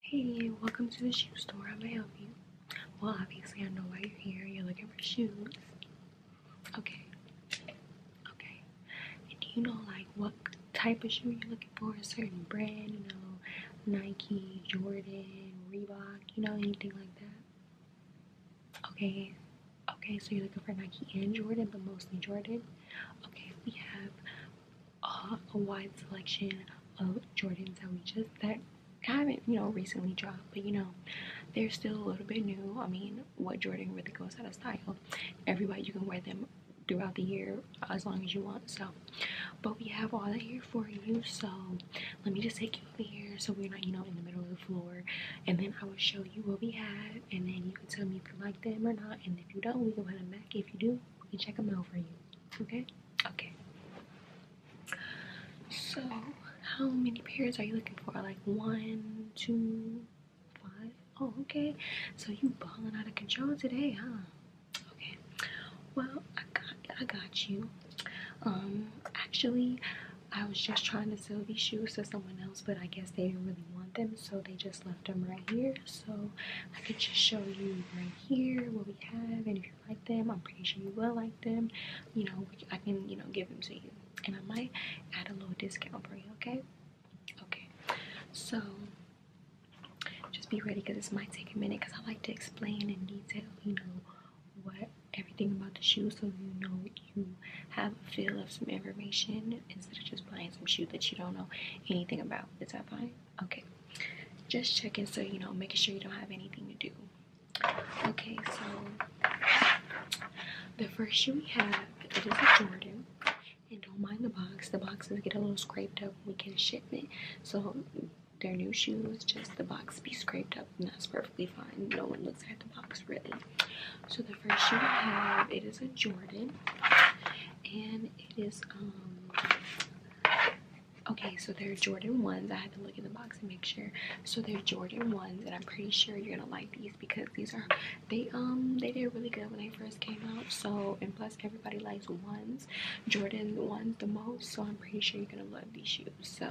Hey, welcome to the shoe store. I'm gonna help you? Well, obviously, I know why you're here. You're looking for shoes. Okay. Okay. And do you know, like, what type of shoe you're looking for? A certain brand, you know, Nike, Jordan, Reebok, you know, anything like that? Okay. Okay, so you're looking for Nike and Jordan, but mostly Jordan? Okay, we have a wide selection of Jordans that we just that haven't you know recently dropped, but you know they're still a little bit new. I mean, what Jordan really goes out of style? Everybody, you can wear them throughout the year as long as you want. So, but we have all that here for you. So, let me just take you over here so we're not, you know, in the middle of the floor. And then I will show you what we have, and then you can tell me if you like them or not. And if you don't, we can put them back. If you do, we check them out for you. Okay? Okay. So, how many pairs are you looking for? Like one, two, five? Oh, okay. So you balling out of control today, huh? Okay. Well, I got I got you. Um, actually, I was just trying to sell these shoes to someone else, but I guess they didn't really want them, so they just left them right here. So I could just show you right here, what we have, and if you like them, I'm pretty sure you will like them. You know, I can, you know, give them to you. And I might add a little discount for you, okay? Okay. So, just be ready because this might take a minute because I like to explain in detail, you know, what everything about the shoe so you know you have a feel of some information instead of just buying some shoe that you don't know anything about. Is that fine? Okay, just checking so you know, making sure you don't have anything to do. Okay, so the first shoe we have it is a Jordan, and don't mind the box. The boxes get a little scraped up when we get a shipment, so they're new shoes, just the box be scraped up, and that's perfectly fine. No one looks at the box really. So the first shoe we have it is a Jordan, and it is um Okay, so they're Jordan 1s. I had to look in the box and make sure. So they're Jordan 1s, and I'm pretty sure you're gonna like these because these are they um they did really good when they first came out. So and plus everybody likes ones, Jordan 1s the most. So I'm pretty sure you're gonna love these shoes. So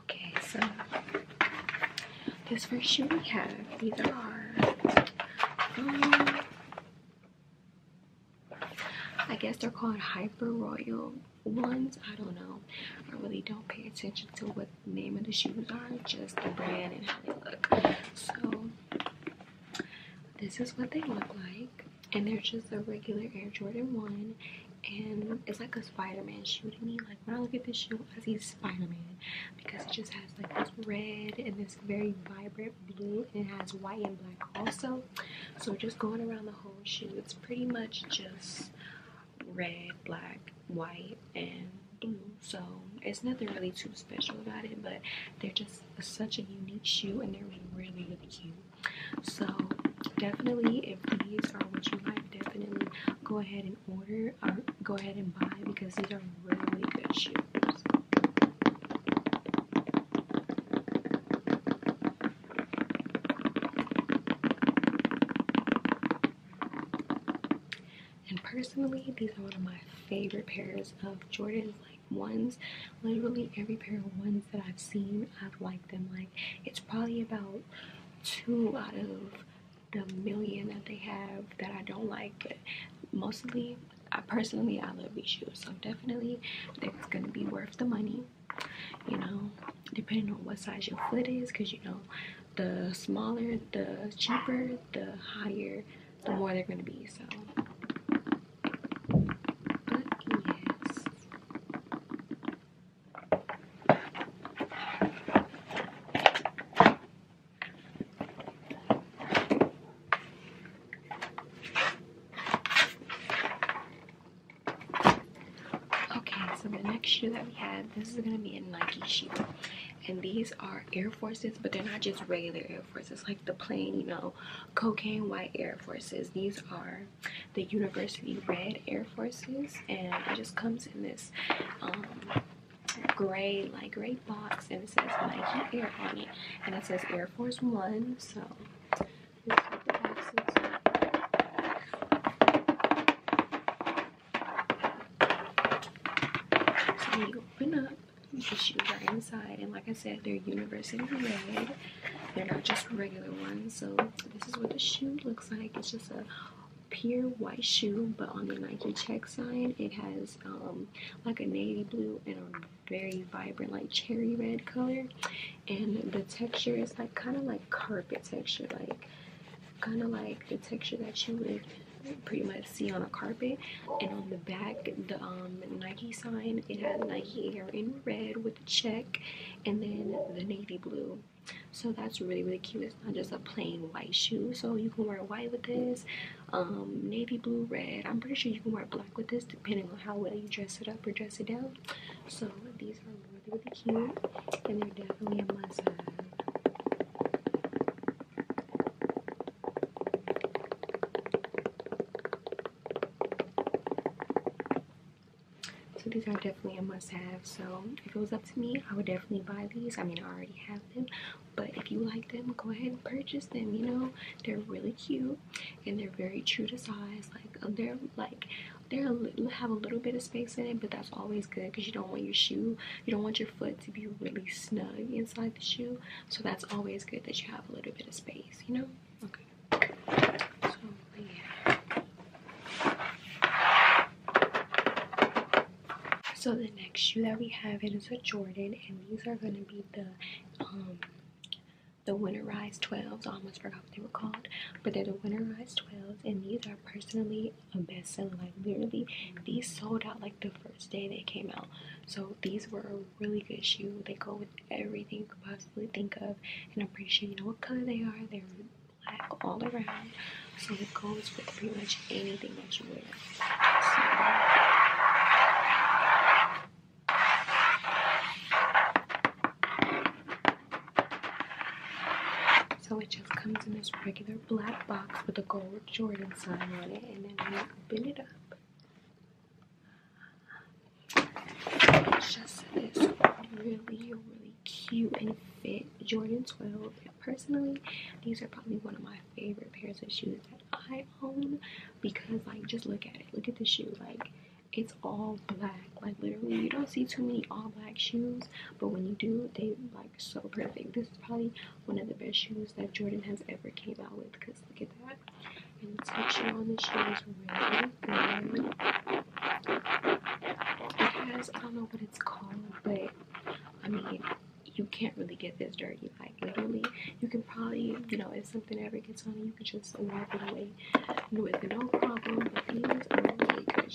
Okay, so this first shoe we have, these are, I guess they're called Hyper Royal ones. I don't know. I really don't pay attention to what the name of the shoes are, just the brand and how they look. So this is what they look like. And they're just a regular Air Jordan 1. And it's like a Spider-Man shoe me. Like when I look at this shoe, I see Spider-Man because it just has like this red and this very vibrant blue and it has white and black also. So just going around the whole shoe, it's pretty much just red, black, white, and blue. So it's nothing really too special about it, but they're just such a unique shoe and they're really, really cute. So definitely if these are what you like definitely go ahead and order or go ahead and buy because these are really good shoes and personally these are one of my favorite pairs of jordans like ones literally every pair of ones that i've seen i've liked them like it's probably about two out of the million that they have that I don't like, but mostly, I personally, I love these shoes, so definitely, it's gonna be worth the money. You know, depending on what size your foot is, because you know, the smaller, the cheaper, the higher, the more they're gonna be. So, Okay, so the next shoe that we have, this is gonna be a Nike shoe. And these are Air Forces, but they're not just regular Air Forces, like the plain, you know, cocaine white Air Forces. These are the University Red Air Forces, and it just comes in this um, gray, like gray box, and it says like Air on it, and it says Air Force One. So you open up, the shoes are inside, and like I said, they're university red. They're not just regular ones, so this is what the shoe looks like. It's just a pure white shoe, but on the Nike check sign, it has um, like a navy blue and a very vibrant, like cherry red color. And the texture is like kind of like carpet texture, like kind of like the texture that you would pretty much see on a carpet and on the back the um, nike sign it has nike air in red with a check and then the navy blue so that's really really cute it's not just a plain white shoe so you can wear white with this um, navy blue red i'm pretty sure you can wear black with this depending on how well you dress it up or dress it down so these are really really cute and they're definitely a must have so these are definitely a must-have. So if it was up to me, I would definitely buy these. I mean, I already have them, but if you like them, go ahead and purchase them. You know, they're really cute and they're very true to size. Like um, they're like they have a little bit of space in it, but that's always good because you don't want your shoe, you don't want your foot to be really snug inside the shoe. So that's always good that you have a little bit of space. You know. Okay. So so the next shoe that we have it is a Jordan and these are gonna be the um the winterized 12s. I almost forgot what they were called, but they're the Winter Rise 12s and these are personally a bestseller. Like literally these sold out like the first day they came out. So these were a really good shoe. They go with everything you could possibly think of and I'm pretty sure you know what color they are. They're black all around, so it goes with pretty much anything that you wear. So, it just comes in this regular black box with a gold Jordan sign on it, and then when you open it up. It's just this really, really cute and fit Jordan 12. Personally, these are probably one of my favorite pairs of shoes that I own because, like, just look at it. Look at the shoe. Like, it's all black. Like, literally, you don't see too many all black shoes, but when you do, they like so perfect. This is probably one of the best shoes that Jordan has ever came out with because look at that. the texture on the shoe really thin. It has, I don't know what it's called, but I mean, you can't really get this dirty. Like, literally, you can probably, you know, if something ever gets on it, you can just wipe it away with no problem. these are really good shoes.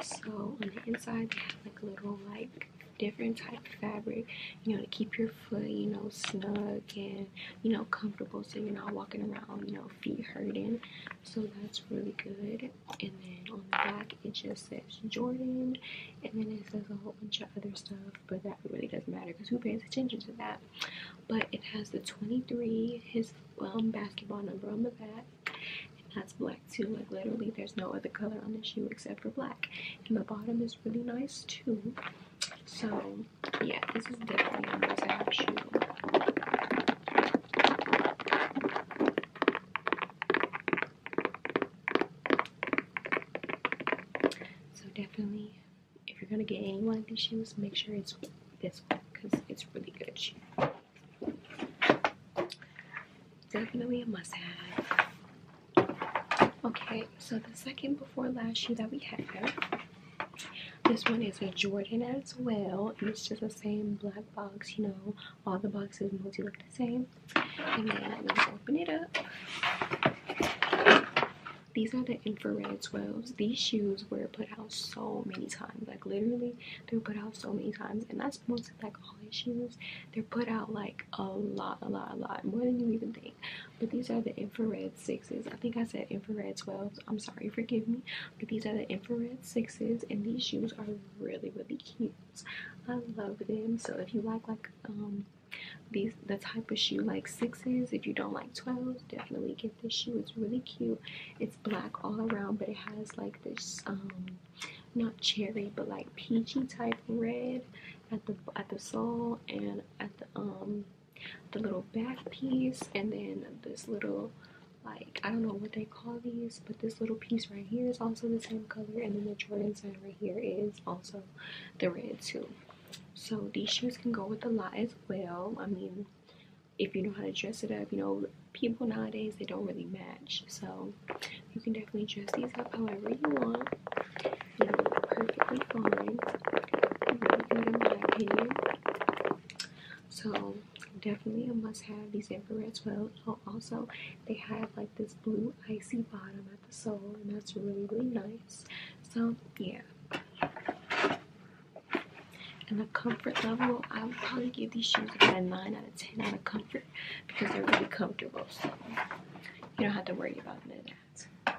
So, on the inside, they have like little, like, different type of fabric, you know, to keep your foot, you know, snug and, you know, comfortable so you're not walking around, you know, feet hurting so that's really good and then on the back it just says jordan and then it says a whole bunch of other stuff but that really doesn't matter because who pays attention to that but it has the 23 his um, basketball number on the back and that's black too like literally there's no other color on the shoe except for black and the bottom is really nice too so yeah this is definitely a nice shoe so definitely, if you're gonna get any one of these shoes, make sure it's this one because it's really good Definitely a must-have. Okay, so the second before last shoe that we have this one is a Jordan as well, it's just the same black box, you know, all the boxes mostly look the same. And then i open it up. These are the infrared 12s. These shoes were put out so many times. Like literally, they were put out so many times. And that's mostly like all these shoes. They're put out like a lot, a lot, a lot. More than you even think. But these are the infrared sixes. I think I said infrared 12s. I'm sorry, forgive me these are the infrared sixes, and these shoes are really, really cute. I love them. So if you like like um these the type of shoe like sixes, if you don't like twelve, definitely get this shoe. It's really cute. It's black all around, but it has like this um, not cherry but like peachy type red at the at the sole and at the um the little back piece and then this little like I don't know what they call these, but this little piece right here is also the same color, and then the Jordan sign right here is also the red too. So these shoes can go with a lot as well. I mean, if you know how to dress it up, you know, people nowadays they don't really match. So you can definitely dress these up however you want. You know, perfectly fine. Really good opinion. So definitely a must have these infrared 12 also they have like this blue icy bottom at the sole and that's really really nice so yeah and the comfort level i would probably give these shoes about a 9 out of 10 out of comfort because they're really comfortable so you don't have to worry about none of that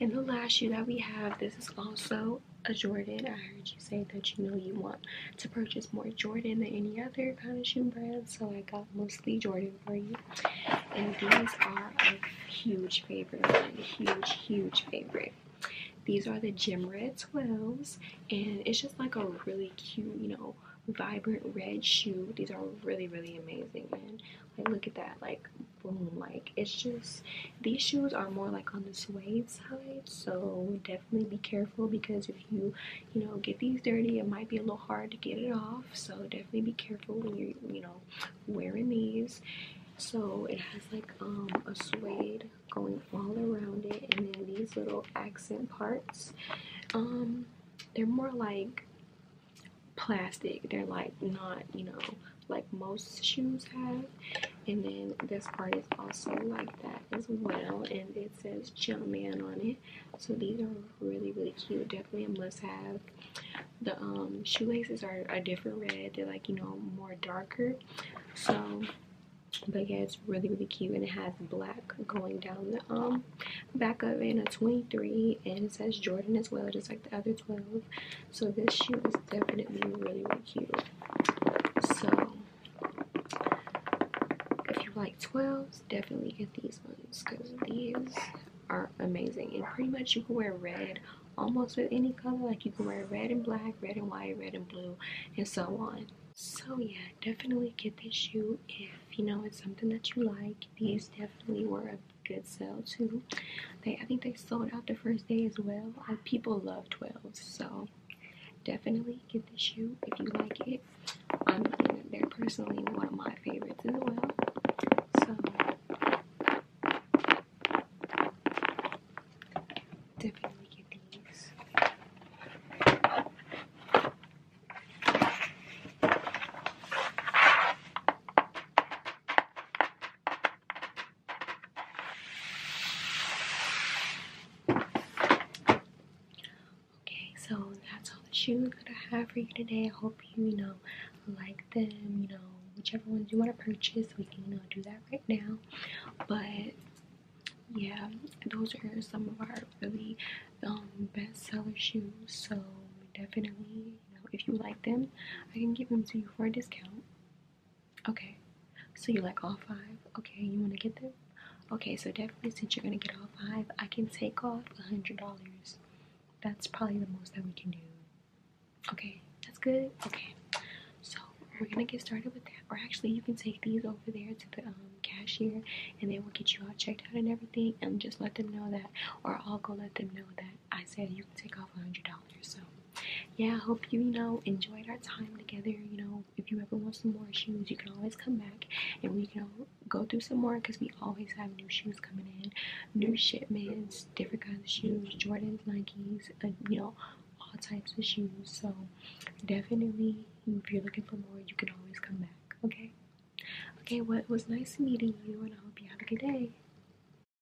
and the last shoe that we have, this is also a Jordan. I heard you say that you know you want to purchase more Jordan than any other kind of shoe brand, so I got mostly Jordan for you. And these are a huge favorite, a huge, huge favorite. These are the Gym Red 12s, and it's just like a really cute, you know, vibrant red shoe. These are really, really amazing. And like, look at that, like boom like it's just these shoes are more like on the suede side so definitely be careful because if you you know get these dirty it might be a little hard to get it off so definitely be careful when you're you know wearing these so it has like um a suede going all around it and then these little accent parts um they're more like plastic they're like not you know like most shoes have and then this part is also like that as well and it says Jumpman on it so these are really really cute definitely a must have the um, shoelaces are a different red they're like you know more darker so but yeah it's really really cute and it has black going down the um back of it and a 23 and it says jordan as well just like the other 12 so this shoe is definitely really, really cute. So if you like 12s, definitely get these ones because these are amazing. And pretty much you can wear red almost with any color. Like you can wear red and black, red and white, red and blue, and so on. So yeah, definitely get this shoe if you know it's something that you like. These definitely work good sell too. They I think they sold out the first day as well. people love 12s, so definitely get the shoe if you like it. Um, they're personally one of my favorites as well. So definitely get these. Okay, so that's all the shoes that I have for you today. I hope you, you know, like them, you know, whichever ones you want to purchase, we can, you know, do that right now. But yeah, those are some of our really um, best seller shoes. So definitely, you know, if you like them, I can give them to you for a discount. Okay, so you like all five? Okay, you want to get them? Okay, so definitely since you're going to get all five, I can take off a $100. That's probably the most that we can do. Okay, that's good? Okay, so we're going to get started with that. Or actually, you can take these over there to the um, cashier and they will get you all checked out and everything and just let them know that. Or I'll go let them know that I said you can take off $100. So, yeah, I hope you, you know, enjoyed our time together. You know, if you ever want some more shoes, you can always come back and we can go through some more because we always have new shoes coming in, new shipments, different kinds of shoes, Jordans, Nikes, uh, you know, all types of shoes. So, definitely, if you're looking for more, you can always come back, okay? Okay, What was nice meeting you, and I hope you have a good day.